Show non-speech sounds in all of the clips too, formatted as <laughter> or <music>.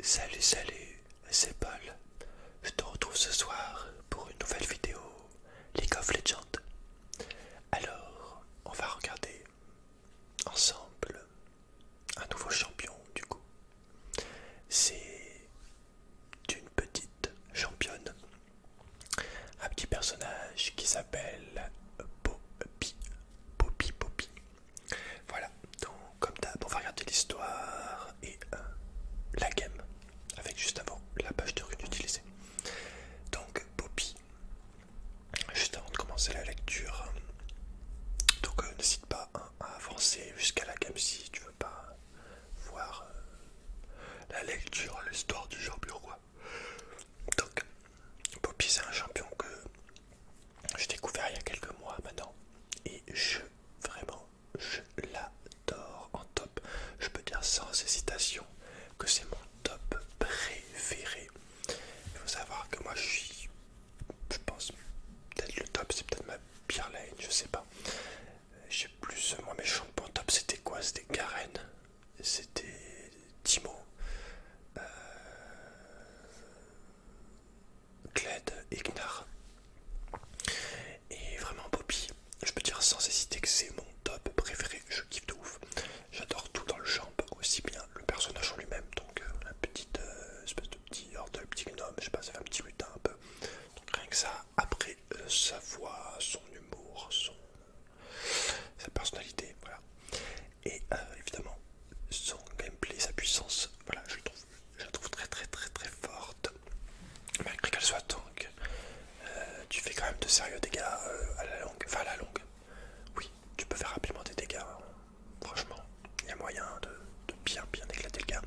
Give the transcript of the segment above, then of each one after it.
Salut salut, c'est Paul. Je te retrouve ce soir pour une nouvelle vidéo League of Legends. Alors, on va regarder ensemble un nouveau champion du coup. C'est une petite championne, un petit personnage qui s'appelle Bobby Poppy Poppy. Voilà, donc comme d'hab, on va regarder l'histoire et euh, la game, avec juste avant la page de rune utilisée. Donc, Poppy, juste avant de commencer la lecture, donc euh, n'hésite pas hein, à avancer jusqu'à la game si tu veux pas voir euh, la lecture, l'histoire du champion roi. Donc, Poppy, c'est un champion que j'ai découvert il y a quelques mois maintenant et je vraiment je l'adore en top. Je peux dire sans hésitation que c'est mon top préféré. Il faut savoir que moi je suis, je pense, peut-être le top, c'est peut-être ma pire lane, je sais pas. Euh, j'ai plus, moi mes champions top c'était quoi C'était Karen, c'était Timo. Euh, Cled et Et vraiment Poppy, je peux dire sans hésiter que c'est mon top préféré, je kiffe de ouf. J'adore tout dans le champ, aussi bien le personnage en lui-même, donc euh, la petite euh, espèce de petit petit gnome, je sais pas, ça un petit lutin un peu. rien que ça, après euh, sa voix, son humour, son... sa personnalité, voilà. Et évidemment, son gameplay, sa puissance, voilà, je le trouve je la trouve très très très très forte. Malgré qu'elle soit tank, euh, tu fais quand même de sérieux dégâts euh, à la longue. Enfin à la longue. Oui, tu peux faire rapidement des dégâts. Hein. Franchement, il y a moyen de, bien bien éclater le gars.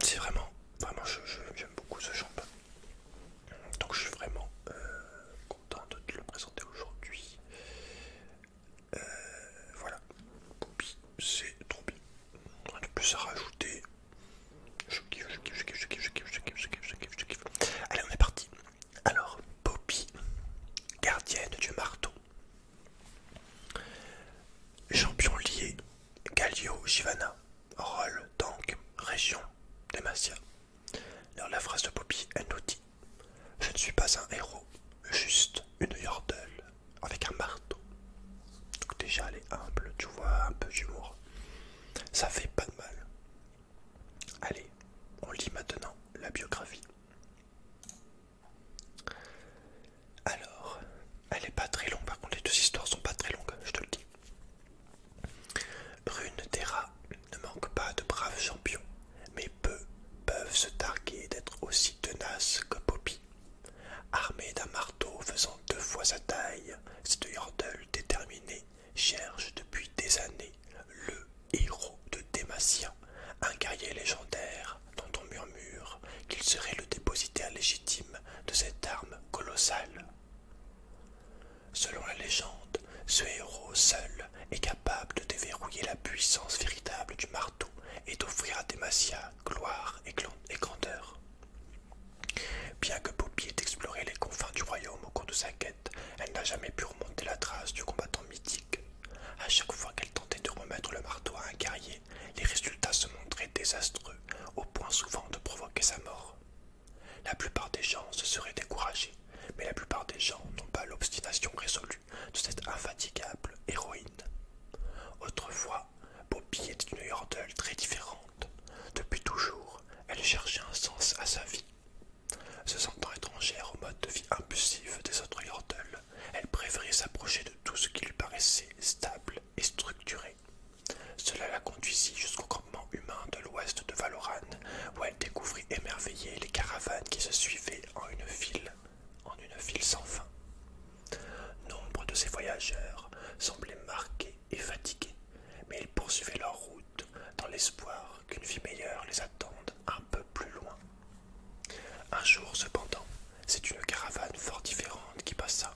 C'est vraiment, vraiment, j'aime beaucoup ce champ. Donc je suis vraiment euh, content de te le présenter aujourd'hui. Voilà, voilà, c'est trop bien. Rien de plus à rajouter. Je kiffe, je kiffe, je kiffe, je kiffe, je kiffe, je kiffe, je kiffe, je kiffe, je kiffe. Allez, on est parti. Alors, Poppy, gardienne du marteau. Champion lié, Galio, Shivana, Roll, tank, région, Demacia. Alors la phrase de Poppy, elle nous dit je ne suis pas un héros, juste une yordle avec un marteau. Donc déjà elle est humble, tu vois, un peu d'humour. Ça fait pas de mal. Allez, on lit maintenant la biographie. Alors, elle est pas très longue, par contre les deux histoires sont pas très longues, je te le dis. Brune Terra ne manque pas de braves champions mais peu peuvent se targuer d'être aussi tenaces que Poppy. Armée d'un marteau faisant deux fois sa taille, cette Yordle déterminée cherche depuis des années le héros de Dématien, un guerrier légendaire dont on murmure qu'il serait le dépositaire légitime de cette arme colossale. Selon la légende, ce héros seul est capable de déverrouiller la puissance véritable du marteau et d'offrir à Demacia gloire et grandeur. Bien que Poppy ait exploré les confins du royaume au cours de sa quête, elle n'a jamais pu remonter la trace du combattant mythique. À chaque fois qu'elle tentait de remettre le marteau à un guerrier, les résultats se montraient désastreux, au point souvent de provoquer sa mort. La plupart des gens se seraient découragés, mais la plupart des gens n'ont pas l'obstination résolue de cette infatigable héroïne. Autrefois, Bobby était une Yordle très différente. Depuis toujours, elle cherchait un sens à sa vie. Se sentant étrangère au mode de vie impulsif des autres Yordles, elle préférait s'approcher de tout ce qui lui paraissait stable et structuré. Cela la conduisit jusqu'au campement humain de l'ouest de Valoran, où elle découvrit émerveillée les caravanes qui se suivaient en une file en une ville sans fin. Nombre de ces voyageurs semblaient marqués et fatigués, mais ils poursuivaient leur route dans l'espoir qu'une vie meilleure les attende un peu plus loin. Un jour, cependant, c'est une caravane fort différente qui passa.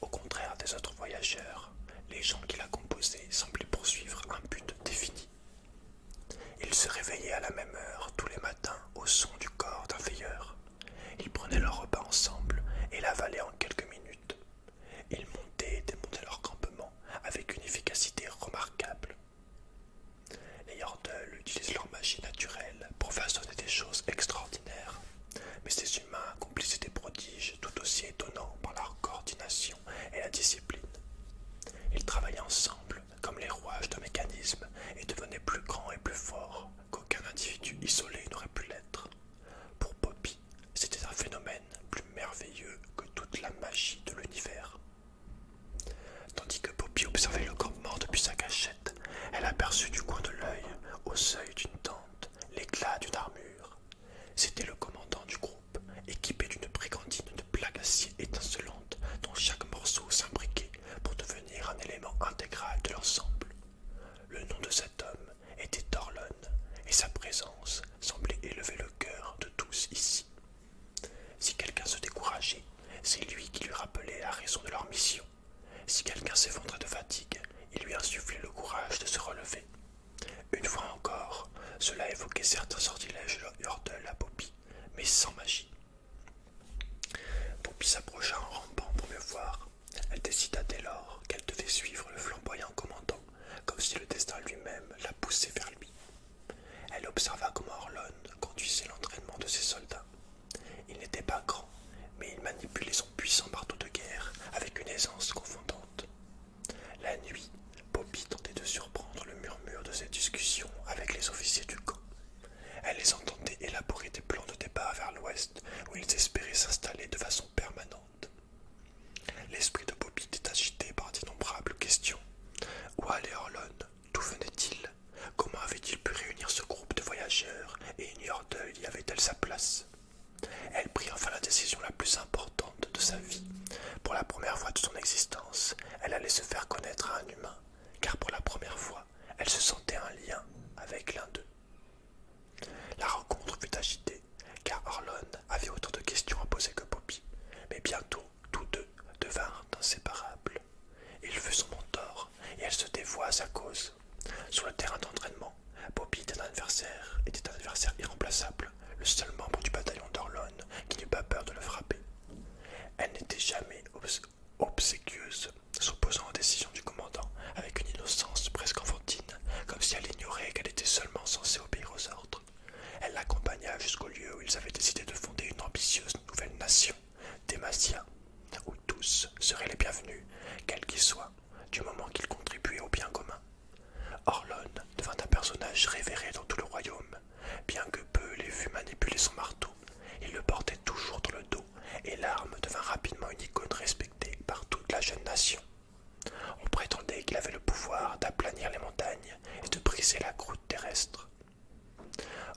Au contraire des autres voyageurs, les gens qui la composaient semblaient poursuivre un but défini. Ils se réveillaient à la même heure tous les matins au son du corps d'un veilleur. Ils prenaient leur repas ensemble et l'avalaient en quelques minutes. Ils montaient et démontaient leur campement avec une efficacité remarquable. Les Yordles utilisent leur magie naturelle pour façonner des choses extraordinaires, mais ces humains accomplissent des prodiges tout aussi étonnants par leur coordination et la discipline. Ils travaillaient ensemble comme les rouages d'un mécanisme, et devenait plus grand et plus fort qu'aucun individu isolé n'aurait pu l'être. Pour Poppy, c'était un phénomène plus merveilleux que toute la magie de l'univers. Tandis que Poppy observait le corps mort depuis sa cachette, elle aperçut du coin de l'œil, au seuil d'une tente, l'éclat d'une armure. C'était le commandant du groupe, équipé d'une brigandine de plaques acier étincelantes dont chaque morceau s'imbriquait pour devenir un élément intégral de l'ensemble. Le nom de cet homme était Torlon, et sa présence semblait élever le cœur de tous ici. Si quelqu'un se décourageait, c'est lui qui lui rappelait la raison de leur mission. Si quelqu'un s'effondrait de fatigue, il lui insufflait le courage de se relever. Une fois encore, cela évoquait certains sortilèges hors de la mais sans magie. Poppy s'approcha en rampant pour mieux voir. Elle décida dès lors qu'elle devait suivre le flamboyant commandant, comme si le destin lui-même la poussait vers lui. Elle observa comment Orlon conduisait l'entraînement de ses soldats. Il n'était pas grand, mais il manipulait son puissant marteau de guerre avec une aisance confondante. La nuit, Bobby tentait de surprendre le murmure de ses discussions avec les officiers du camp. Elle les entendait élaborer des plans de départ vers l'ouest où ils espéraient s'installer de façon permanente. L'esprit de Bobby était agité par d'innombrables questions. Où allait Orlon D'où venait-il Comment avait-il pu réunir ce groupe de voyageurs Et une heure y avait-elle sa place Elle prit enfin la décision la plus importante de sa vie, pour la première fois de son existence, elle allait se faire connaître à un humain, car pour la première fois, elle se sentait un lien avec l'un d'eux. La rencontre fut agitée, car Orlon avait autant de questions à poser que Poppy, mais bientôt tous deux devinrent inséparables. Il fut son mentor, et elle se dévoie à sa cause. Sur le terrain d'entraînement, Poppy était un adversaire, était un adversaire irremplaçable, le seul membre du bataillon d'Orlon qui n'eut pas peur de le frapper. Elle n'était jamais obséquieuse, s'opposant aux décisions du commandant avec une innocence presque enfantine, comme si elle ignorait qu'elle était seulement censée obéir aux ordres. Elle l'accompagna jusqu'au lieu où ils avaient décidé de fonder une ambitieuse nouvelle nation, Demacia, où tous seraient les bienvenus, quels qu'ils soient, du moment qu'ils contribuaient au bien commun. Orlone devint un personnage révéré dans tout le royaume Bien que peu les vu manipuler son marteau, il le portait toujours dans le dos et l'arme devint rapidement une icône respectée par toute la jeune nation. On prétendait qu'il avait le pouvoir d'aplanir les montagnes et de briser la croûte terrestre.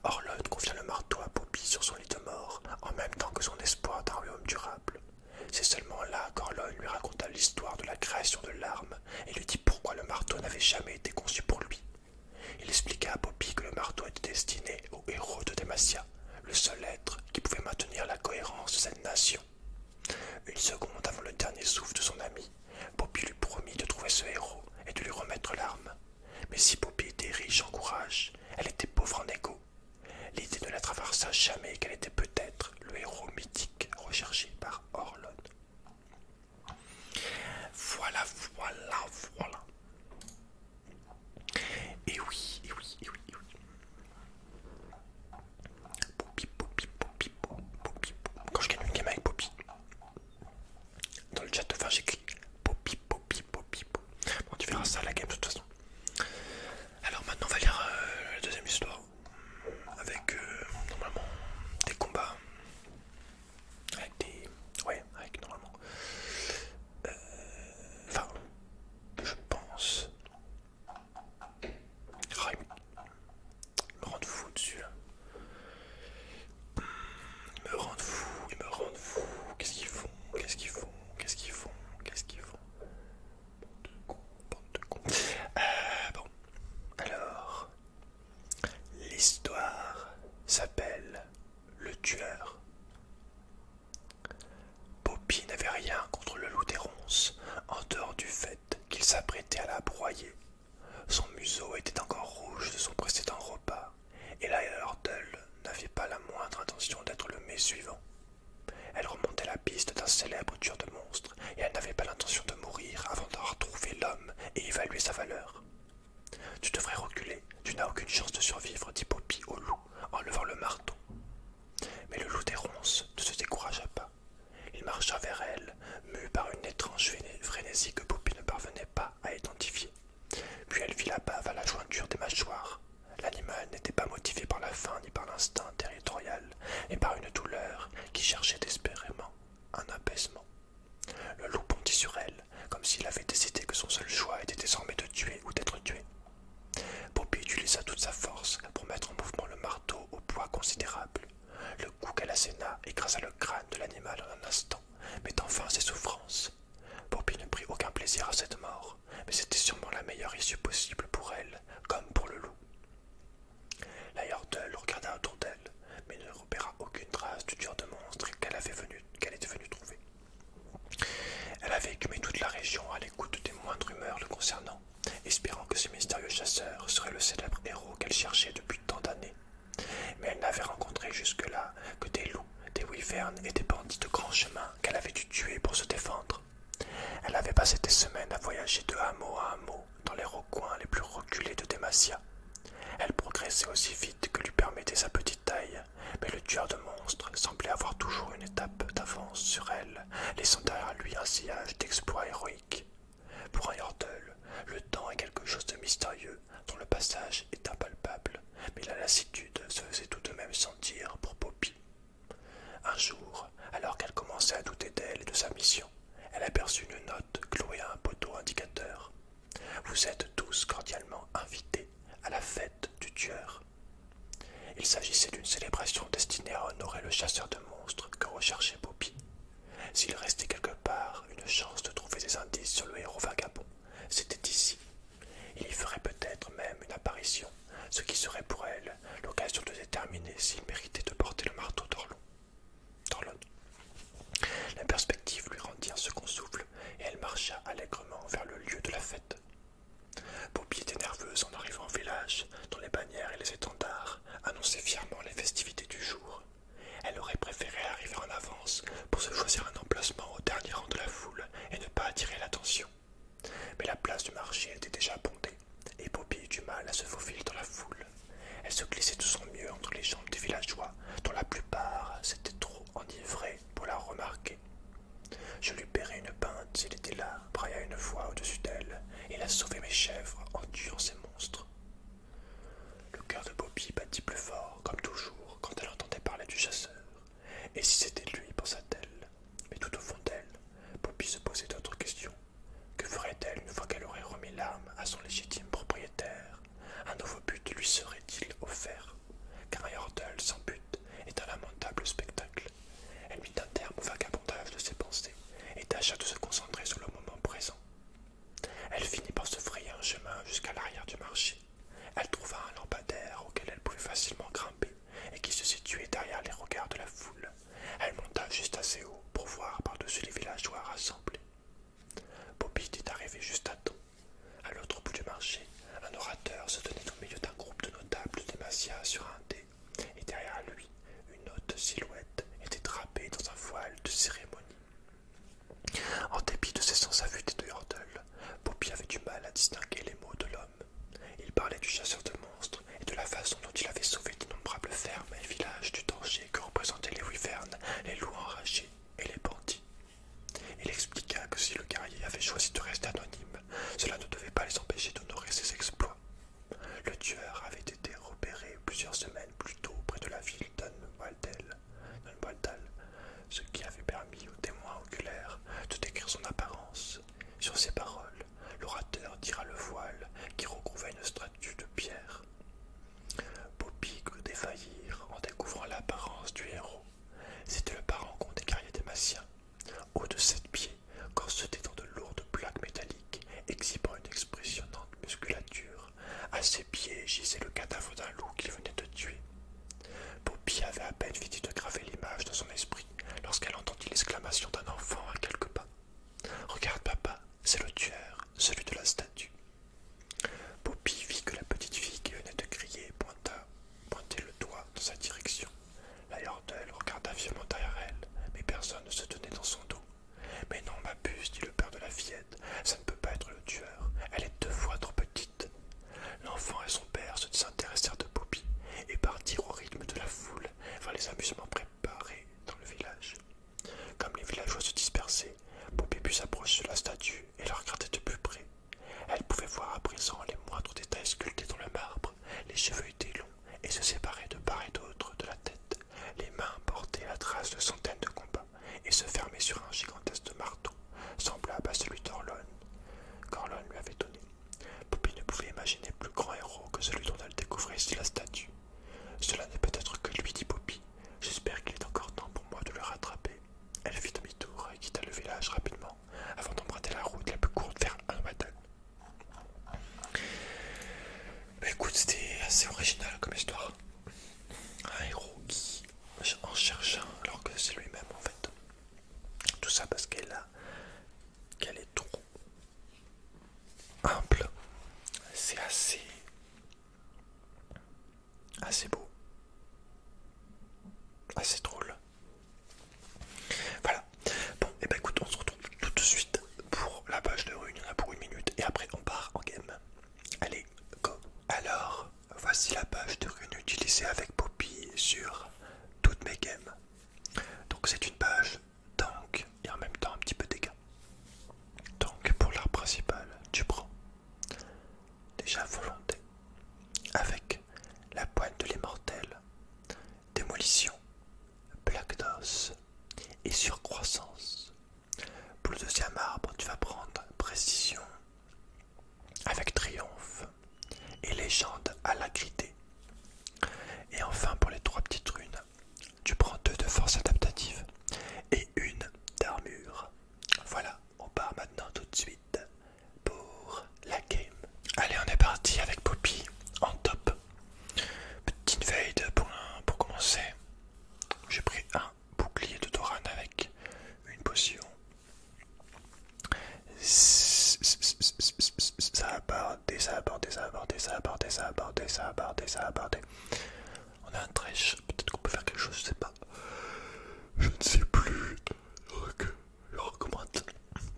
Orlon confia le marteau à Poppy sur son lit de mort, en même temps que son espoir d'un royaume durable. C'est seulement là qu'Orlon lui raconta l'histoire de la création de l'arme et lui dit pourquoi le marteau n'avait jamais été conçu pour lui. Il expliqua à Poppy que le marteau était destiné au héros de Demacia, le seul être qui pouvait maintenir la cohérence de cette nation. Une seconde avant le dernier souffle de son ami, Poppy lui promit de trouver ce héros et de lui remettre l'arme. Mais si Poppy était riche en courage, elle était pauvre en égo. L'idée ne la traversa jamais qu'elle était peut-être le héros mythique recherché par Orlon. Voilà, voilà, voilà. Et oui, et oui, et oui, et oui. Poppy, Poppy, Poppy, Poppy. Quand je gagne une game avec Poppy, dans le chat de fin, j'écris Poppy, Poppy, Poppy. Bon, tu verras ça à la game de toute façon. Alors maintenant, on va lire euh, la deuxième histoire avec euh, normalement des combats avec des ouais avec normalement euh, enfin je pense ah, ils me rendent fou dessus là ils hmm, me rendent fou ils me rendent fou qu'est-ce qu'ils font qu'est-ce qu'ils font qu'est-ce qu'ils font qu'est-ce qu'ils font bande de con bande de con euh, bon alors L'histoire s'appelle Le Tueur. Poppy n'avait rien contre le loup des ronces, en dehors du fait qu'il s'apprêtait à la broyer. Son museau était encore rouge de son précédent repas, et la Hurdle n'avait pas la moindre intention d'être le mai suivant. Elle remontait la piste d'un célèbre tueur de et elle n'avait pas l'intention de mourir avant d'avoir trouvé l'homme et évalué sa valeur. Tu devrais reculer, tu n'as aucune chance de survivre, dit Poppy au loup en levant le marteau. Mais le loup des ronces ne se découragea pas. Il marcha vers elle, mu par une étrange frénésie que Poppy ne parvenait pas à identifier. Puis elle vit la bave à la jointure des mâchoires. L'animal n'était pas motivé par la faim ni par l'instinct territorial, mais par une douleur qui cherchait désespérément un apaisement. Le loup bondit sur elle, comme s'il avait décidé que son seul choix était désormais de tuer ou d'être tué. Poppy utilisa toute sa force pour mettre en mouvement le marteau au poids considérable. Le coup qu'elle asséna écrasa le crâne de l'animal en un instant, mettant fin à ses souffrances. Poppy ne prit aucun plaisir à cette mort, mais c'était sûrement la meilleure issue possible pour elle, comme pour le loup. La Yordle regarda autour d'elle, mais ne repéra aucune trace du dur de monstre qu'elle avait qu'elle était venue trouver. Elle avait écumé toute la région à l'écoute des moindres rumeurs le concernant, espérant que ce mystérieux chasseur serait le célèbre héros qu'elle cherchait depuis tant d'années. Mais elle n'avait rencontré jusque-là que des loups, des wyvernes et des bandits de grand chemin qu'elle avait dû tuer pour se défendre. Elle avait passé des semaines à voyager de hameau à hameau, dans les recoins les plus reculés de Demacia. Elle progressait aussi vite que lui permettait sa petite taille, mais le tueur de monstres semblait avoir toujours une étape d'avance sur elle, laissant derrière lui un sillage d'exploits héroïques. Pour un Yordle, le temps est quelque chose de mystérieux, dont le passage est impalpable, mais la lassitude se faisait tout de même sentir pour Poppy. Un jour, alors qu'elle commençait à douter d'elle et de sa mission, elle aperçut une note clouée à un poteau indicateur. Vous êtes tous cordialement invités à la fête du tueur. Il s'agissait d'une célébration destinée à honorer le chasseur de monstres que recherchait Bobby. S'il restait quelque part une chance de trouver des indices sur le héros vagabond, c'était ici. Il y ferait peut-être même une apparition, ce qui serait pour elle l'occasion de déterminer s'il méritait de porter le marteau d'Orlon. La perspective lui rendit un second souffle et elle marcha allègrement vers le lieu de la fête. bobby était nerveuse en arrivant au village, dont les bannières et les étendards annonçaient fièrement les festivités du jour. Elle aurait préféré arriver en avance pour se choisir un emplacement au dernier rang de la foule et ne pas attirer l'attention. Mais la place du marché était déjà bondée et Poppy eut du mal à se faufiler dans la foule. Elle se glissait de son mieux entre les jambes des villageois, dont la plupart s'étaient trop enivrés pour la remarquer. Je lui paierai une pinte s'il était là, brailla une fois au-dessus d'elle, et la a mes chèvres en tuant ces monstres. Le cœur de Bobby battit plus fort, comme toujours, quand elle entendait parler du chasseur. Et si c'était lui, pensa-t-elle. Mais tout au fond d'elle, Bobby se posait d'autres questions. Que ferait-elle une fois qu'elle aurait remis l'âme à son légitime propriétaire Un nouveau but lui serait-il offert Car un Yordle sans but est un lamentable spectacle. Elle mit un terme au vagabondage de ses pensées et tâcha de se concentrer sur le moment présent. Elle finit par se frayer un chemin jusqu'à l'arrière du marché. Elle trouva un lampadaire auquel elle pouvait facilement grimper et qui se situait derrière les regards de la foule elle monta juste assez haut pour voir par-dessus les villageois rassemblés. Bobby était arrivé juste à temps. À l'autre bout du marché, un orateur se tenait au milieu d'un groupe de notables des sur un dé, et derrière lui, une haute silhouette était drapée dans un voile de cérémonie. En dépit de ses sens affûtés de Yordle, Bobby avait du mal à distinguer les mots de l'homme. Il parlait du chasseur de monstres et de la façon dont il avait sauvé d'innombrables fermes et villages du danger que représentaient les wyvernes, les loups enragés et les bandits. Il expliqua que si le guerrier avait choisi de rester anonyme, cela ne devait pas les empêcher d'honorer ses exploits. Le tueur avait été repéré plusieurs semaines plus tôt près de la ville d'Anwaldal, ce qui avait permis aux témoins oculaires de décrire son apparence. Sur ses paroles, l'orateur tira le voile qui recouvrait une statue de pierre. Poppy crut défaillir en découvrant l'apparence du héros. C'était le parent parangon des guerriers au haut de sept pieds, corsetés dans de lourdes plaques métalliques, exhibant une expressionnante musculature. À ses pieds gisait le cadavre d'un loup qu'il venait de tuer. Poppy avait à peine fini de graver l'image dans son esprit lorsqu'elle entendit l'exclamation d'un enfant à quelques pas. Regarde, papa, c'est le tueur, celui de la statue. Poppy vit que la petite fille qui venait de crier pointait le doigt dans sa direction. La elle regarda violemment derrière elle, mais personne ne se tenait dans son dos. Mais non, ma puce, dit le père de la fillette, ça ne peut pas être le tueur, elle est deux fois trop petite. L'enfant et son père se désintéressèrent de Poppy et partirent au rythme de la foule vers les amusements préparés Paré dans le village. Comme les villageois se dispersaient, Poupée s'approcher de la statue et la regarder de plus près. Elle pouvait voir à présent les moindres détails sculptés dans le marbre. Les cheveux étaient longs et se séparaient de part et d'autre de la tête. Les mains portaient la trace de centaines de combats et se fermaient sur un gigantesque marteau, semblable à celui d'Orlon, qu'Orlon lui avait donné. Poupée ne pouvait imaginer plus grand héros que celui dont elle découvrait si la statue. Cela n'est peut-être que lui, dit Poppy. J'espère qu'il est encore temps pour moi de le rattraper. Elle fit demi-tour et quitta le village rapidement, avant d'emprunter la route la plus courte vers un Mais bah, écoute, c'était assez original comme histoire. Un héros qui en cherche un alors que c'est lui-même en fait. Tout ça parce qu'elle qu'elle est trop c'est assez assez beau, assez drôle. Voilà. Bon, et eh ben écoute, on se retrouve tout de suite pour la page de Rune, Il a pour une minute et après on part en game. Allez, go. Alors, voici la page de rune utilisée avec Poppy sur toutes mes games. Donc c'est une page donc, et en même temps un petit peu dégâts. Donc pour l'art principal, tu prends déjà volonté avec la pointe de l'immortel, démolition, plaque d'os et surcroissance. Pour le deuxième arbre, tu vas prendre précision avec triomphe et légende à Et enfin pour les trois petites runes, tu prends deux de force adaptative et une d'armure. Voilà, on part maintenant tout de suite pour la game. Allez, on est parti avec Poppy en top. Petite veille pour, pour commencer. J'ai pris un bouclier de Doran avec une potion. Ça va pas aborder, ça bordé, ça bordé, ça bordé, ça bordé, ça bordé, ça On a un trèche, peut-être qu'on peut faire quelque chose, je sais pas. Je ne sais plus. le je recommande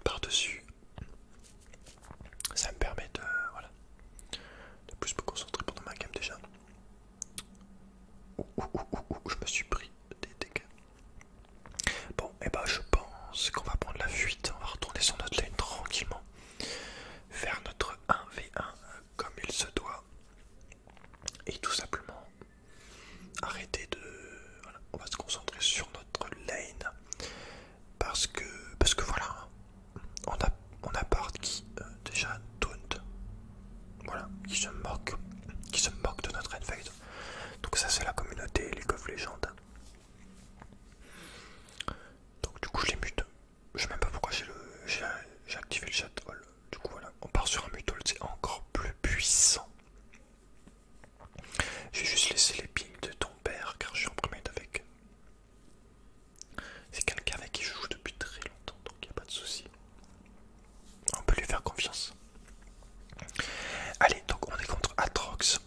par-dessus. Ça me permet de, voilà, de plus me concentrer pendant ma game déjà. je me suis pris des dégâts. Bon, et bah ben, je pense qu'on va prendre la fuite, on va retourner sur notre lane tranquillement faire notre 1v1 comme il se doit et tout simplement arrêter de on va se concentrer sur notre lane parce que parce que voilà on a on a part qui euh, déjà taunt voilà qui se moque qui se moque de notre invade donc ça c'est la communauté les of légendes. Donc du coup je les mute. Je sais même pas pourquoi j'ai activé le chat hall. Oh du coup voilà, on part sur un mute hall, c'est encore plus puissant. J'ai juste laissé les pings de ton père car je suis en primate avec. C'est quelqu'un avec qui je joue depuis très longtemps donc il n'y a pas de souci. On peut lui faire confiance. Allez, donc on est contre Atrox.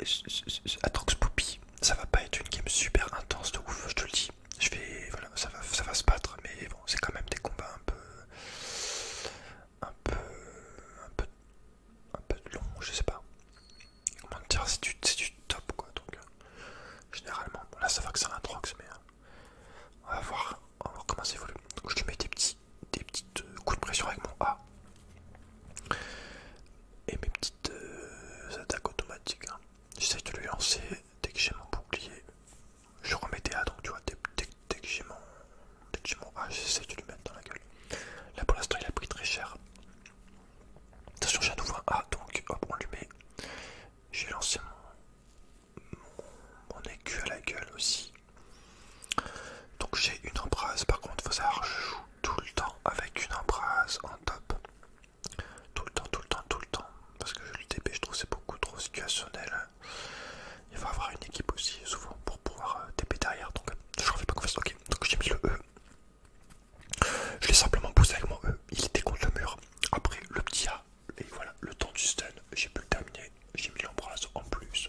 Euh, Atrox Poopy, ça va pas être une game super intense de ouf, je te le dis. Je vais, voilà, ça va, ça va se battre, mais bon, c'est quand même des combats un peu, un peu, un peu, un peu longs, je sais pas. Comment dire, c'est du, top quoi. Donc, euh, généralement, là ça va que c'est un Atrox, mais euh, on va voir, comment ça évolue. Donc, je te mets des petits, des petites coups de pression avec mon A. Et mes petits euh, attaques automatiques. Hein. J'essaie de lui lancer dès que j'ai mon bouclier. Je remets des A, donc tu vois, dès, dès que j'ai mon, A, j'essaie de lui mettre dans la gueule. Là pour l'instant, il a pris très cher. Attention, j'ai à nouveau un A, donc hop, on lui met. J'ai lancé mon, mon, écu à la gueule aussi. Donc j'ai une embrasse, par contre, faut savoir, je joue tout le temps avec une embrase en top. Tout le temps, tout le temps, tout le temps. Parce que TP je trouve c'est beaucoup trop situationnel. Il faut avoir une équipe aussi, souvent, pour pouvoir euh, TP derrière. Donc, je ne fais pas confiance. Ok, donc j'ai mis le E. Je l'ai simplement poussé avec mon E. Il était contre le mur. Après, le petit A. Et voilà, le temps du stun. J'ai pu le terminer. J'ai mis l'embrasse en plus.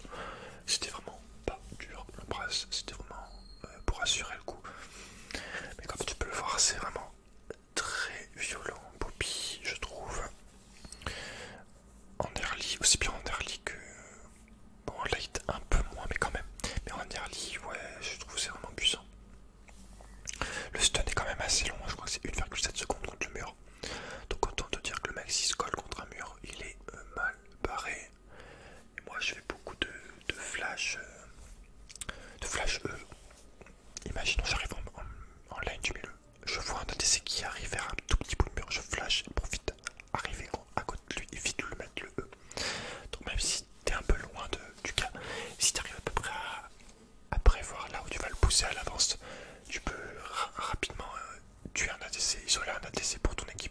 C'était vraiment pas dur, le c'était vraiment euh, pour assurer le coup. Mais comme tu peux le voir, c'est vraiment très violent, Bobby, je trouve. En early, aussi bien en early que. Bon, en light, un peu moins, mais quand même. Mais en early, ouais, je trouve c'est vraiment puissant. Le stun est quand même assez long, je crois que c'est 1,7 secondes contre le mur. Donc, autant te dire que le mec, il se colle contre un mur, il est euh, mal barré moi je fais beaucoup de, flash de flash E. Imaginons j'arrive en, en, line du milieu, je vois un ADC qui arrive vers un tout petit bout de mur, je flash pour profite arriver à côté de lui et vite lui mettre le E. Donc même si t'es un peu loin de, du cas, si t'arrives à peu près à, prévoir là où tu vas le pousser à l'avance, tu peux rapidement euh, tuer un ADC, isoler un ADC pour ton équipe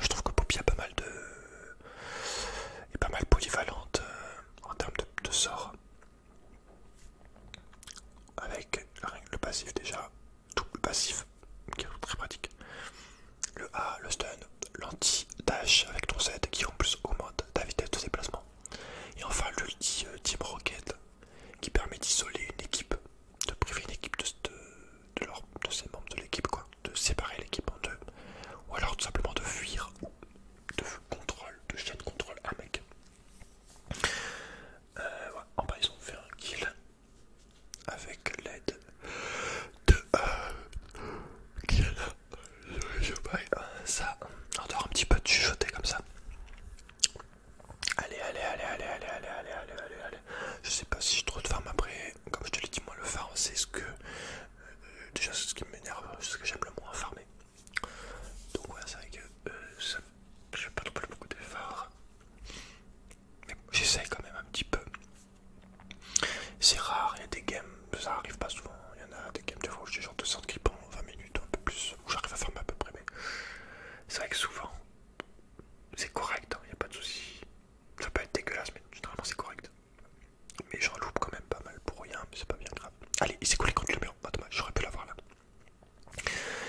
Je trouve que Poppy a pas mal de. est pas mal polyvalente euh, en termes de, sort. Avec le passif déjà, double passif, qui est très pratique. Le A, le stun, l'anti-dash avec ton Z qui en plus augmente ta vitesse de déplacement. Et enfin l'ulti euh, Team Rocket qui permet d'isoler une équipe, de priver une équipe de, de, de, leur, de ces membres de l'équipe, quoi, de séparer l'équipe en deux, ou alors tout simplement de fuir de contrôle, de chaîne contrôle un mec. Euh, en bas, ils ont fait un kill avec l'aide de euh, ça, on un petit peu de chuchoter comme ça. allez, allez, allez, allez, allez, allez, allez, allez, je sais pas si j'ai trop de farm après. Comme je te l'ai dit, moi le farm c'est ce que. Euh, déjà, c'est ce qui m'énerve, c'est ce que j'aime le moins farmer. Donc, c'est vrai que euh, je pas plus beaucoup phares Mais j'essaye quand même un petit peu. C'est rare, il y a des games, ça arrive pas souvent. Il y en a des games de fois où j'ai genre 200 qui pendant 20 minutes ou un peu plus, où j'arrive à farmer à peu près. Mais c'est vrai que souvent, c'est correct, il hein, n'y a pas de souci. Ça peut être dégueulasse, mais généralement c'est correct. Mais j'en loupe quand même pas mal pour rien, mais c'est pas bien grave. Allez, il s'est collé contre le mur, ah, j'aurais pu l'avoir là.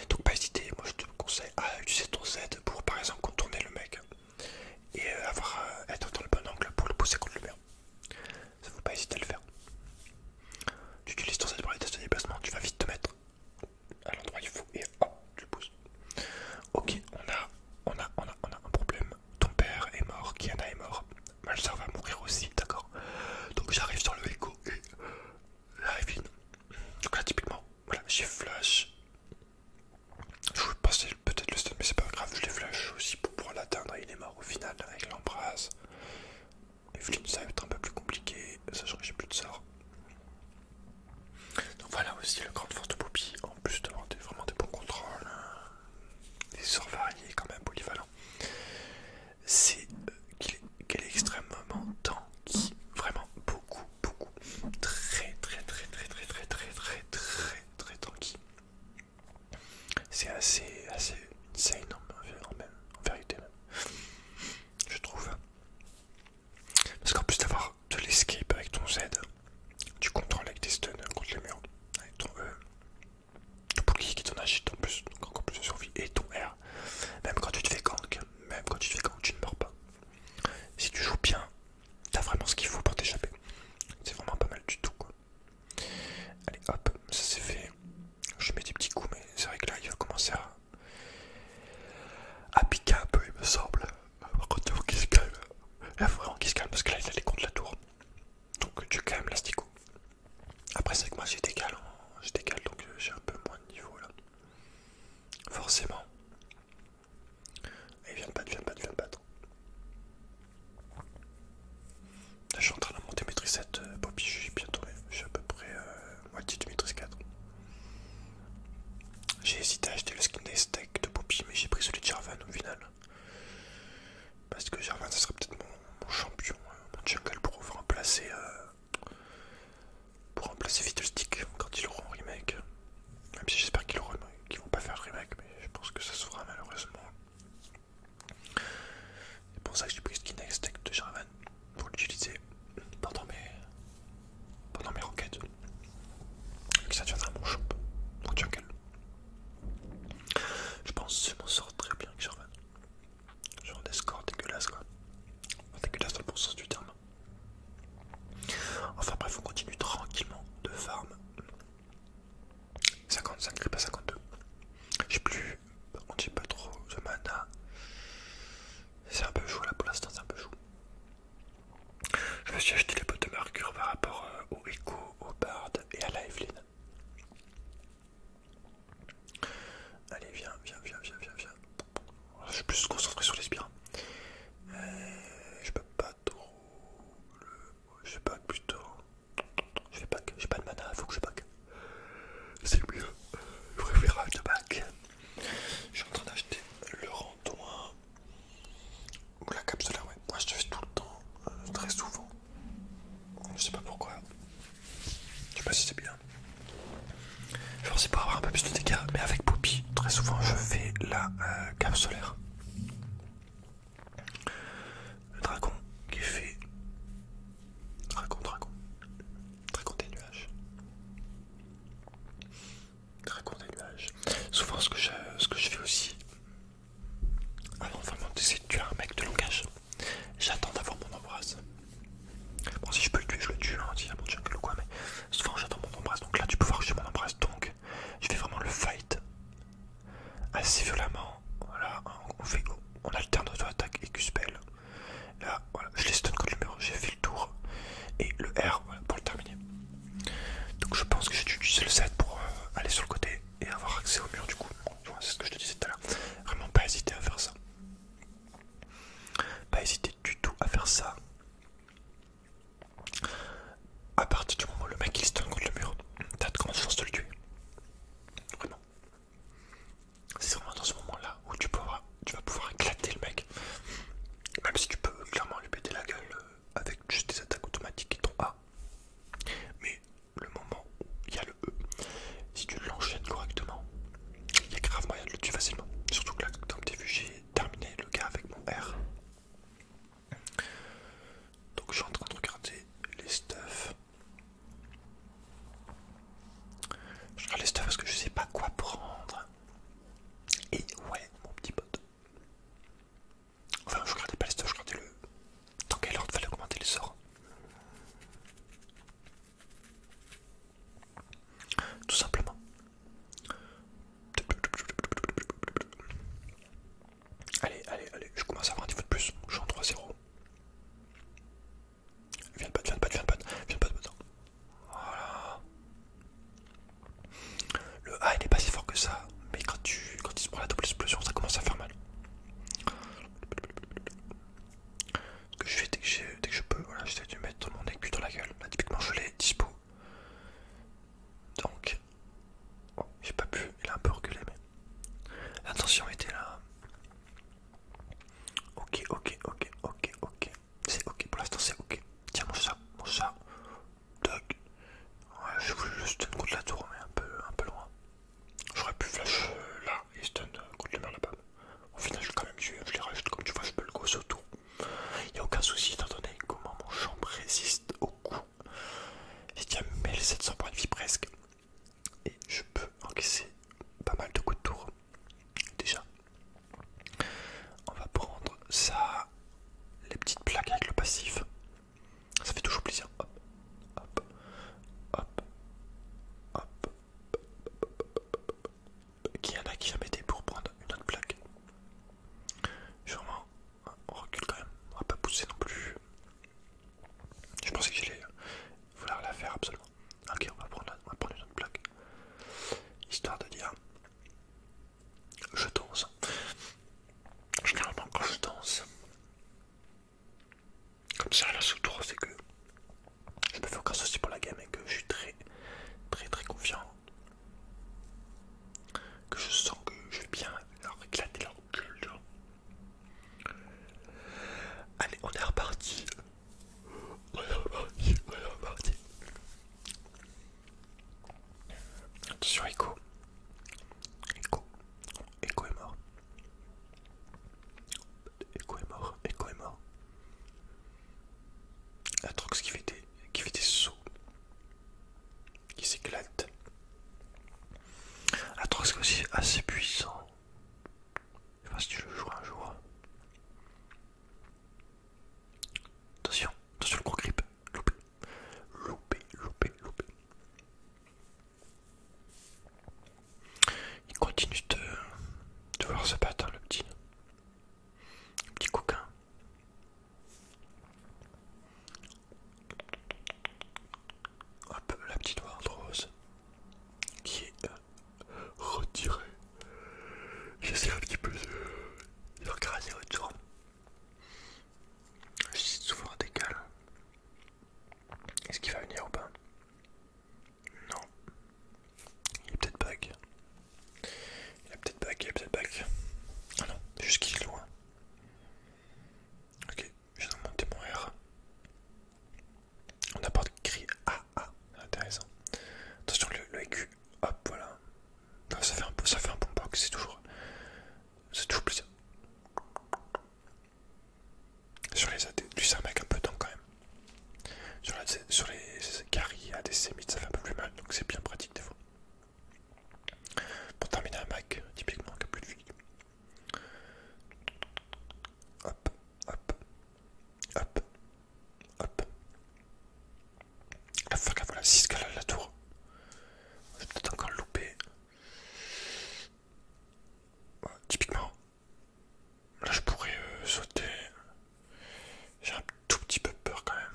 Donc pas hésiter, moi je te conseille à ah, utiliser ton Z pour par exemple contourner le mec et euh, avoir, euh, être dans le bon angle pour le pousser contre le mur. Ça ne faut pas hésiter à le faire. Tu utilises ton Z pour les tests de déplacement, tu vas vite te mettre à l'endroit il faut et hop tu pousses. Ok, on a, on a, on a, un problème. Ton père est mort, Kiana est mort, soeur va mourir aussi, d'accord. Donc j'arrive sur le écho et la Evine. Donc là typiquement, voilà, j'ai flash. Je voulais passer peut-être le stun mais c'est pas grave, je les flash aussi pour pouvoir l'atteindre il est mort au final avec l'embrasse. Evelyn ça va être un peu plus compliqué, sachant que j'ai plus de sort. Donc voilà aussi le grande force de Poppy, en plus d'avoir de vraiment des bons contrôles, hein. des sorts variés quand même polyvalents, c'est euh, qu'il est, extrêmement tanky, vraiment beaucoup, beaucoup, très très très très très très très très très très tanky. C'est assez, assez insane en, en vérité même, je trouve. Parce qu'en plus d'avoir de l'escape avec ton Z, tu contrôles avec tes stuns contre les murs. Avec ton E, ton bouclier qui t'en agite en plus, donc encore plus de survie. Et ton R, même quand tu te fais gank, même quand tu te fais gank, tu ne meurs pas. Si tu joues bien, t'as vraiment ce qu'il faut pour t'échapper. C'est vraiment pas mal du tout quoi. Allez hop, ça c'est fait. Je mets des petits coups, mais c'est vrai que là il va commencer à à piquer un peu, il me semble. Par contre, il faut se calme. Il vraiment qu'il se calme parce que là, il allait contre la tour. Donc, tu calmes l'astico. Après, c'est que moi, j'ai des j'étais donc euh, j'ai un peu moins de niveau là. Forcément. Il vient de battre, viens de battre, viens je suis en train de monter mes tricettes, euh, Bobby, je suis bien tombé. Je suis à peu près euh, moitié de 4. J'ai hésité à acheter le skin tech de Poppy, mais j'ai pris celui de Jarvan au final. Parce que Jarvan, ça serait peut-être mon, champion, euh, mon jungle pour remplacer, euh, pour remplacer stick quand ils auront remake. Même si j'espère qu'ils vont pas faire remake, mais je pense que ça se fera malheureusement. C'est pour ça que j'ai pris le skin tech de Jarvan pour l'utiliser pendant mes, pendant mes que ça deviendra mon champ, mon jungle. Je pense que je m'en sors très bien avec Sherman. Genre des scores dégueulasses quoi. Dégueulasses dans le bon sens du terme. Enfin bref, on continue tranquillement de farm. 55 rip à 52. J'ai plus. on contre, j'ai pas trop de mana. C'est un peu chaud là pour l'instant, c'est un peu chaud. Je me suis acheté les bottes de mercure par rapport euh, au Echo, au Bard et à la Evelyn. Allez, viens, viens, viens, viens, viens, viens. Je suis plus concentré sur les spirales. Euh, je peux pas trop. Le... Je pas, plutôt. Je vais Je j'ai pas de mana, faut que je pack. C'est mieux. Je préfère un back. Je suis en train d'acheter le randouin ou la capsule ouais. Moi je te fais tout le temps, euh, très souvent. Je sais pas pourquoi. Je sais pas si c'est bien. Je pense c'est pour avoir un peu plus de dégâts, mais avec Poppy, très souvent je fais la euh, cape solaire. Le dragon qui fait. Dragon, dragon. Dragon des nuages. Très nuages. Souvent, ce que je, ce que je fais aussi, non vraiment sais, de tuer un mec de langage, j'attends d'avoir mon embrasse. Bon, si je peux le tuer, je le tue, hein, quoi, mais souvent j'attends mon embrasse. Donc là, tu peux voir que j'ai mon embrasse, donc je fais vraiment le fight assez violemment. Voilà, on, fait, on alterne auto-attaque et Q-spell. Là, voilà, je les stun contre le mur, j'ai fait le tour. Et le R, pour le terminer. Donc je pense que j'ai dû utiliser le Z pour euh, aller sur le côté et avoir accès au mur du coup. C'est ce que je te disais tout à l'heure. Vraiment pas hésiter à faire ça. Pas hésiter du tout à faire ça. À partir du moment où le mec il stun contre le mur, t'as de grandes chances de le tuer. Vraiment. C'est vraiment dans ce moment là où tu peux avoir tu vas pouvoir éclater le mec. Même si tu peux clairement lui péter la gueule euh, avec juste des attaques automatiques et ton A. Mais le moment où il y a le E, si tu l'enchaînes correctement, il y a grave moyen de le tuer facilement. Surtout que là, comme t'es vu, j'ai terminé le gars avec mon R. Donc je suis en train de regarder les stuffs. Je regarde les stuffs parce que je sais pas quoi prendre. Et ouais, mon petit pote. Enfin, je regardais pas les stuff je regardais le. Tant quel ordre fallait augmenter les sorts Tout simplement. Allez, allez, allez, je commence à avoir un niveau de plus. Je suis en 3-0. Viens de pote, viens de pote, viens de pote, viens pas de Voilà. Le A il est pas si fort que ça, mais quand tu quand il se prend la double explosion, ça commence à faire mal. Ce que je fais dès que, dès que je peux, voilà, j'essaie de mettre mon aigu dans la gueule. Là, typiquement, je l'ai dispo. Donc, oh, j'ai pas pu, il a un peu reculé, mais. Attention, était là. Ok, ok, ok, ok, ok. C'est ok, pour l'instant c'est ok. Tiens, mon ça, mon ça. Doc. Ouais, j'ai voulu le coup de la tour, mais un peu, loin. J'aurais pu flash euh, là et stun coup euh, contre le là-bas. Au final, je quand même je les rajoute comme tu vois, je peux le gosser autour. Il n'y a aucun souci étant comment mon champ résiste au coup. J'ai les 1700 points de vie presque. Et je peux encaisser pas mal de coups de tour. Déjà, on va prendre ça, les petites plaques avec le passif. Ça fait toujours plaisir. Hop, hop, hop, hop. Qui y en a qui a pour prendre une autre plaque Sûrement. Hein, on recule quand même. On va pas pousser non plus. Je pensais que allait vouloir la faire absolument. Ok, on va prendre, une autre plaque. Histoire de dire, je danse. Généralement, quand je danse, comme ça, la soutour, c'est que je me fais aucun ceci pour la gamme et que je suis très, très, très confiant. Que je sens que je vais bien leur éclater leur Allez, on est reparti. Attention, Echo. Echo. Echo est mort. Echo est mort. Echo est mort. La Trox qui fait des, sauts qui s'éclate des Trox Qui est aussi assez puissant. Je sais pas si tu le joues un jour. Attention, attention le gros grip, loupé, loupé, loupé, loupé. Il continue de, de vouloir se battre, le petit, le petit coquin. Hop, la petite rose qui est là. Euh, retirer. J'essaie un petit peu de, le autour. j'essaie de souvent décal. Est-ce qu'il va venir ou pas Non. Il est peut-être back. Il est peut-être back, il est peut-être back. Ah non, juste qu'il loin. Ok, je vais mon R. On apporte cri AA, c'est intéressant. Attention le, le hop voilà. ça fait un, ça fait un bon box, c'est toujours, c'est toujours plus, Sur les AD, lui un mec un peu temps quand même. Sur, les caries ADC ça fait un peu plus mal, donc c'est bien pratique des fois. Pour terminer un Mac, typiquement qui a plus de vie. Hop, hop, hop, Hop. La fuck, la voilà, 6 qu'elle la tour. J'ai peut-être encore loupé. typiquement, là je pourrais euh, sauter. J'ai un tout petit peu peur quand même.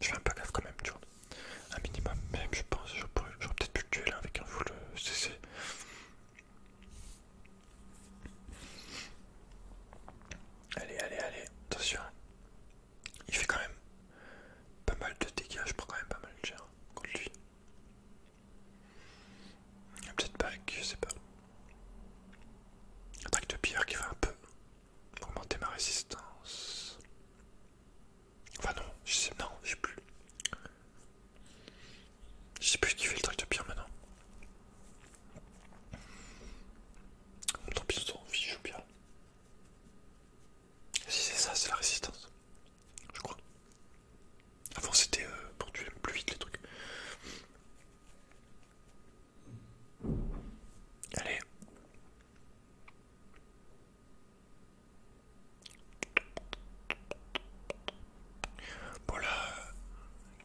Je fais un peu gaffe quand même, tu Un minimum, même je pense. J'aurais peut-être pu le tuer là hein, avec un full CC. Euh, Allez, allez, allez, attention. Il fait quand même pas mal de dégâts, je prends quand même pas mal de dégâts contre lui. Peut-être je sais pas. Attaque de pierre qui va un peu augmenter ma résistance. Enfin non, je sais, non, j'ai plus. Je sais plus qui fait le truc de pire maintenant. Tant pis, on s'en fiche bien. Si c'est ça, c'est la résistance. Je crois. Avant c'était euh, pour tuer plus vite les trucs. Allez voilà là,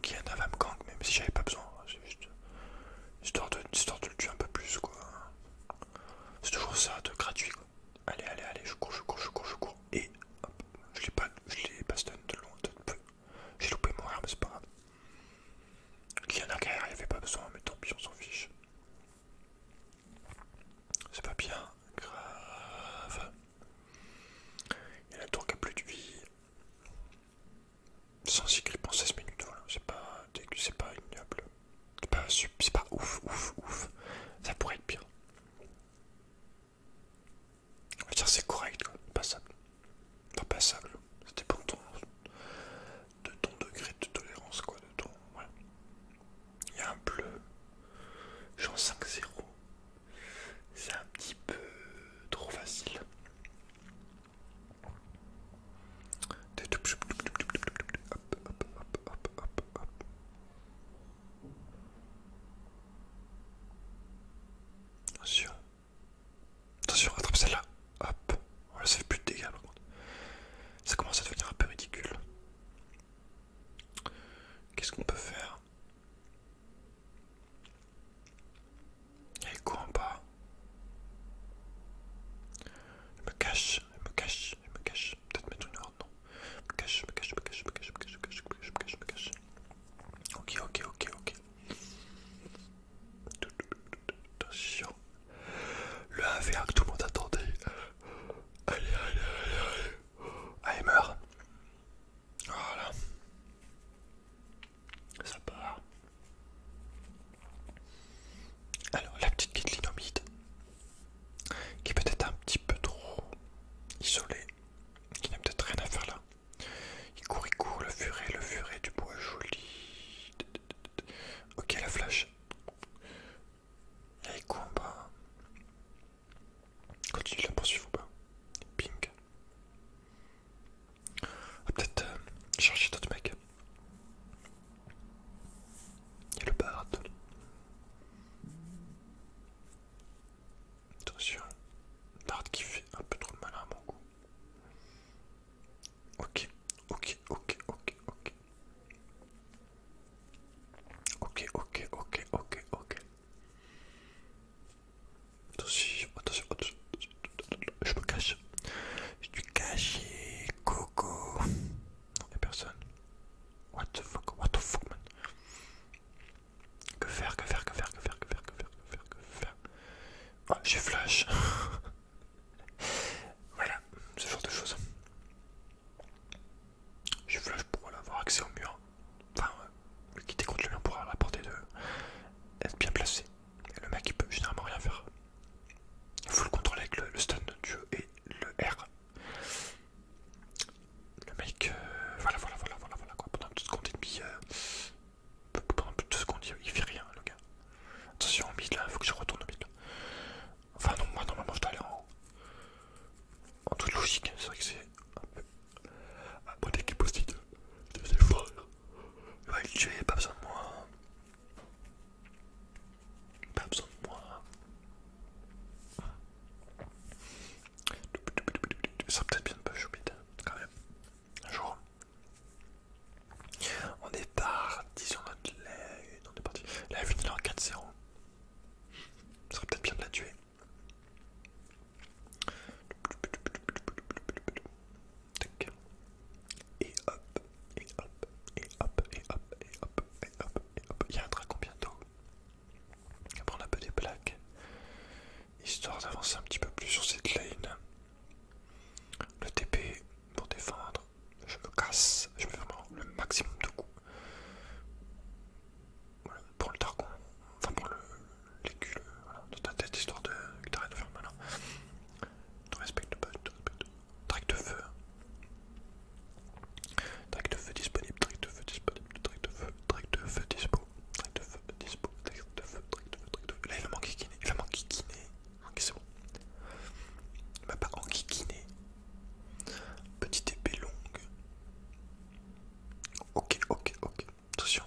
Kiana va me gang, même si j'avais pas besoin, hein, c'est juste histoire de, le tuer un peu plus quoi. C'est toujours ça de gratuit quoi. Allez, allez, allez, je cours, je cours, je cours, je cours. Et hop, je l'ai pas, pas stun de loin, de peu. J'ai loupé mon arme, c'est pas grave. Kiana guerre il n'y avait pas besoin, mais tant pis, on s'en fiche. C'est pas bien, grave. Il y a la tour qui a plus de vie. 106 script en 16 minutes, voilà, c'est pas, c'est pas ignoble. C'est pas, pas ouf, ouf, ouf. Ça pourrait être bien. On va dire c'est correct, quoi. Passable. Pas passable. Ça dépend de ton, de ton degré de tolérance, quoi. De ton, voilà. Il y a un bleu. Je suis en 5-0 c'est un petit peu trop facile. Attention, attention, attrape celle-là. Hop, on oh, ça fait plus de dégâts par contre. Ça commence à devenir un peu ridicule. Qu'est-ce qu'on peut faire il court en bas. Je me cache, il me cache, il me cache. Peut-être mettre une horde, non Je me cache, je me cache, je me cache, je me cache, je me cache, je me cache, je me cache, je me cache. Ok, ok, ok, ok. Attention. Le 1v1 que tout le monde attendait. Allez, allez, allez, allez. Ah, il meurt. Voilà. Ça part. Alors, la petite guitlinomide, qui est peut-être un petit peu trop isolée, qui n'a peut-être rien à faire là. Il court, il court, le furet, le furet du bois joli. Ok, la flash. combat. Continue la poursuivre ou pas Ping. va ah, peut-être euh, chercher d'autres mecs. Il y a le bard. Attention, bard qui fait un peu trop de mal à mon goût. Ok, ok, ok, ok, ok. Ok, ok, ok, ok, ok. Attention, attention, attention, je me cache. Je suis caché, coco. y'a personne. What the fuck, what the fuck, man. Que faire, que faire, que faire, que faire, que faire, que faire, que faire, ah, j'ai flash. <laughs> voilà, ce genre de choses. J'ai flash pour avoir accès au mur. Enfin, euh, le qui contre lui, on pourra à la portée de être bien placé. le mec il peut généralement rien faire. Il faut le contrôler avec le, stun du jeu et le R. Le mec, euh, voilà, voilà, voilà, voilà, voilà quoi. Pendant 2 secondes et demie, euh, pendant plus de deux secondes, il, fait rien le gars. Attention, au mid là, il faut que je retourne au mid. Enfin, non, moi normalement je dois aller en haut. En toute logique, c'est vrai que c'est un peu mon équipe aussi de, de frère. Il va le tuer, pas besoin de moi. Pas besoin de moi. Ça serait peut-être bien de pas choupite, hein, quand même. Un jour. On est parti sur notre lait, On est parti. La lune en 4-0. Ça serait peut-être bien de la tuer. Et hop, et hop, et hop, et hop, et hop, et hop, et hop. Il y a un dragon bientôt. On va prendre un peu des plaques. Histoire d'avancer un petit peu plus sur cette lane. Le TP pour défendre. Je me casse. Je vais faire le maximum de coups pour le targon, enfin pour l'écu voilà, de ta tête, histoire de, que t'arrêtes de faire malin. tu respecte pas, tu respectes Track de feu. Track de feu disponible, track de feu disponible, track de feu, track de feu dispo, track de feu dispo, track de feu, track de feu, track de feu. Là il a manqué kiné, il a manqué kiné. Ok c'est bon. Il m'a pas enquiquiné. Petite épée longue. Ok, ok, ok. Attention.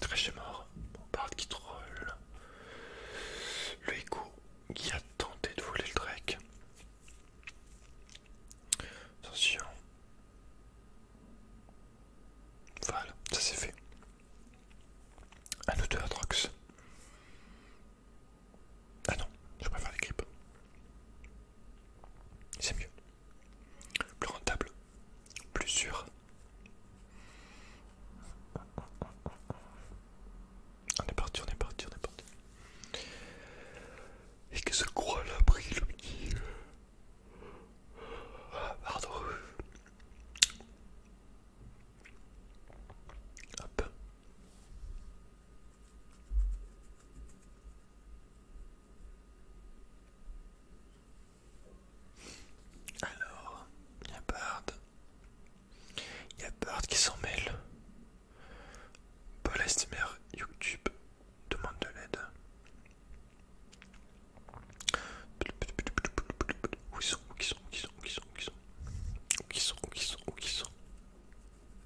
Très mort. Bombard qui troll. Le écho qui a tenté de voler le drake Attention. Voilà, ça c'est fait. Un autre Atrox. Ah non, je préfère les grippes. C'est mieux. Plus rentable, plus sûr. On est parti, on est parti, on est parti. Et que ce croix là pris le petit. Ah, pardon. Hop. Alors, il y a Bard. Il y a Bard qui s'en mêle. Paul Estimer, YouTube, demande de l'aide. Où ils sont Où ils sont Où ils sont Où ils sont Où ils sont Où ils sont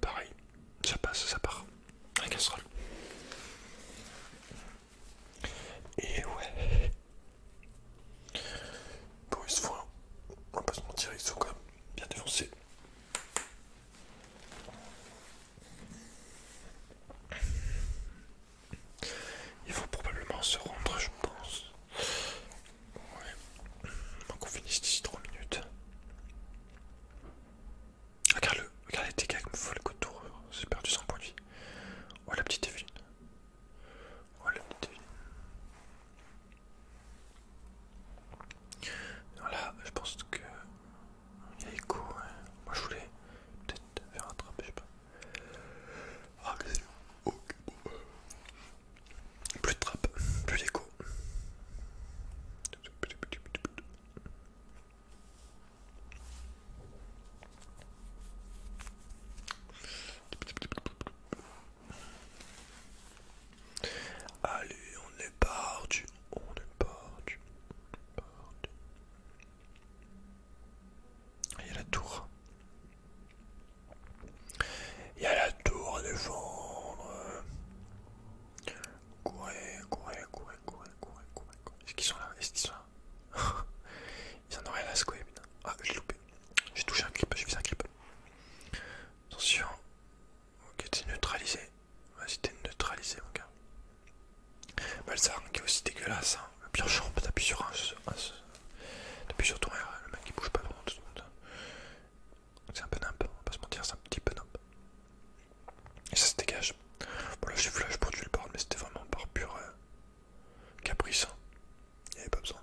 pareil, ça passe, ça part, la casserole. Et ouais. Bon, ils se font, on va pas se mentir, ils sont quand même bien défoncés. Il faut probablement se rendre, je pense. Ouais. Donc on finisse d'ici trois minutes regarde les dégâts que me font le coup tour. J'ai perdu 100 points de vie. Oh la petite Evelyne. Oh la petite Evelyne. Voilà, je pense que. Il y a écho, hein. Moi je voulais peut-être faire un trap, je sais pas. Ah, bah. Plus de trappe, plus d'écho. Allez, on est parti, on est parti, Il y a la tour. Il y a la tour à défendre. Courez, courez, courez, courez, courez, courez, courez. Est-ce qu'ils sont là est sont là <laughs> Ils en Ah, j'ai loupé. J'ai touché un clip, j'ai fait un clip. Attention. Ok, t'es neutralisé. Vas-y, t'es neutralisé, mon gars. qui est aussi dégueulasse. Hein. Le pire champ, t'appuies sur un. sur ton le mec qui bouge pas pendant tout le monde. C'est un peu nimp, on va pas se mentir, c'est un petit peu nimp. Et ça se dégage. Bon, là, j'ai là pour du le board, mais c'était vraiment un par pur euh, caprice. Hein. Il n'y avait pas besoin.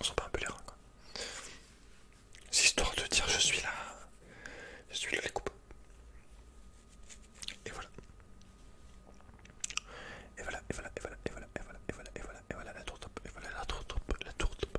On sent pas un peu les reins, quoi. C'est histoire de dire je suis là, je suis là, les coupes. Et voilà. Et voilà, et voilà, et voilà, et voilà, et voilà, et voilà, et voilà, et voilà la tour top, et voilà la tour top, la tour top.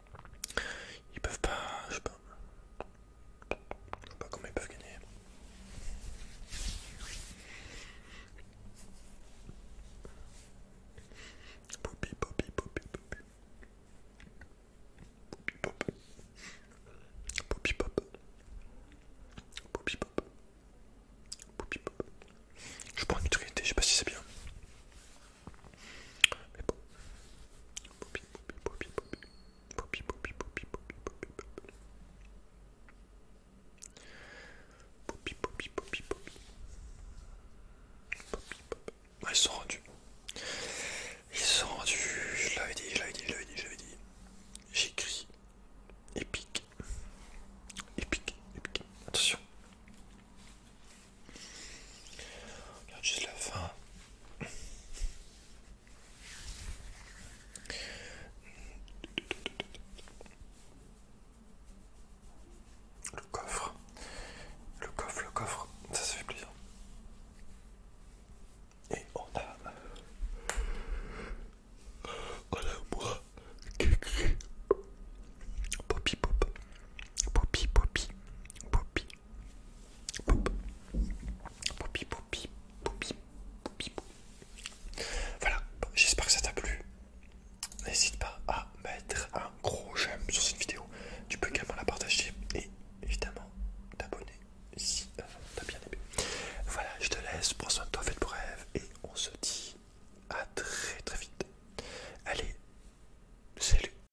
Ils peuvent pas, je sais pas, je sais pas comment ils peuvent gagner. Poppy, poppy, poppy, poppy. Poppy pop. Poppy pop. Poppy pop. Poppy pop. Je prends une utilité, je sais pas si c'est bien ils sont rendus. Ils sont rendus. Je l'avais dit, je dit, je dit. J'écris. Attention. Regarde juste la fin. Le coffre. Le coffre, le coffre. Ça, se fait plaisir. Et on a... On a moi qui écrit... Poppy Pop. Poppy Poppy. Poppy Poupi, poupi, poupi, Voilà, j'espère que ça t'a plu. N'hésite pas à mettre un gros j'aime sur cette vidéo. Tu peux également la partager et évidemment t'abonner si euh, t'as bien aimé. Voilà, je te laisse. Prends soin de toi, fais de et on se dit à très très vite. Allez, salut.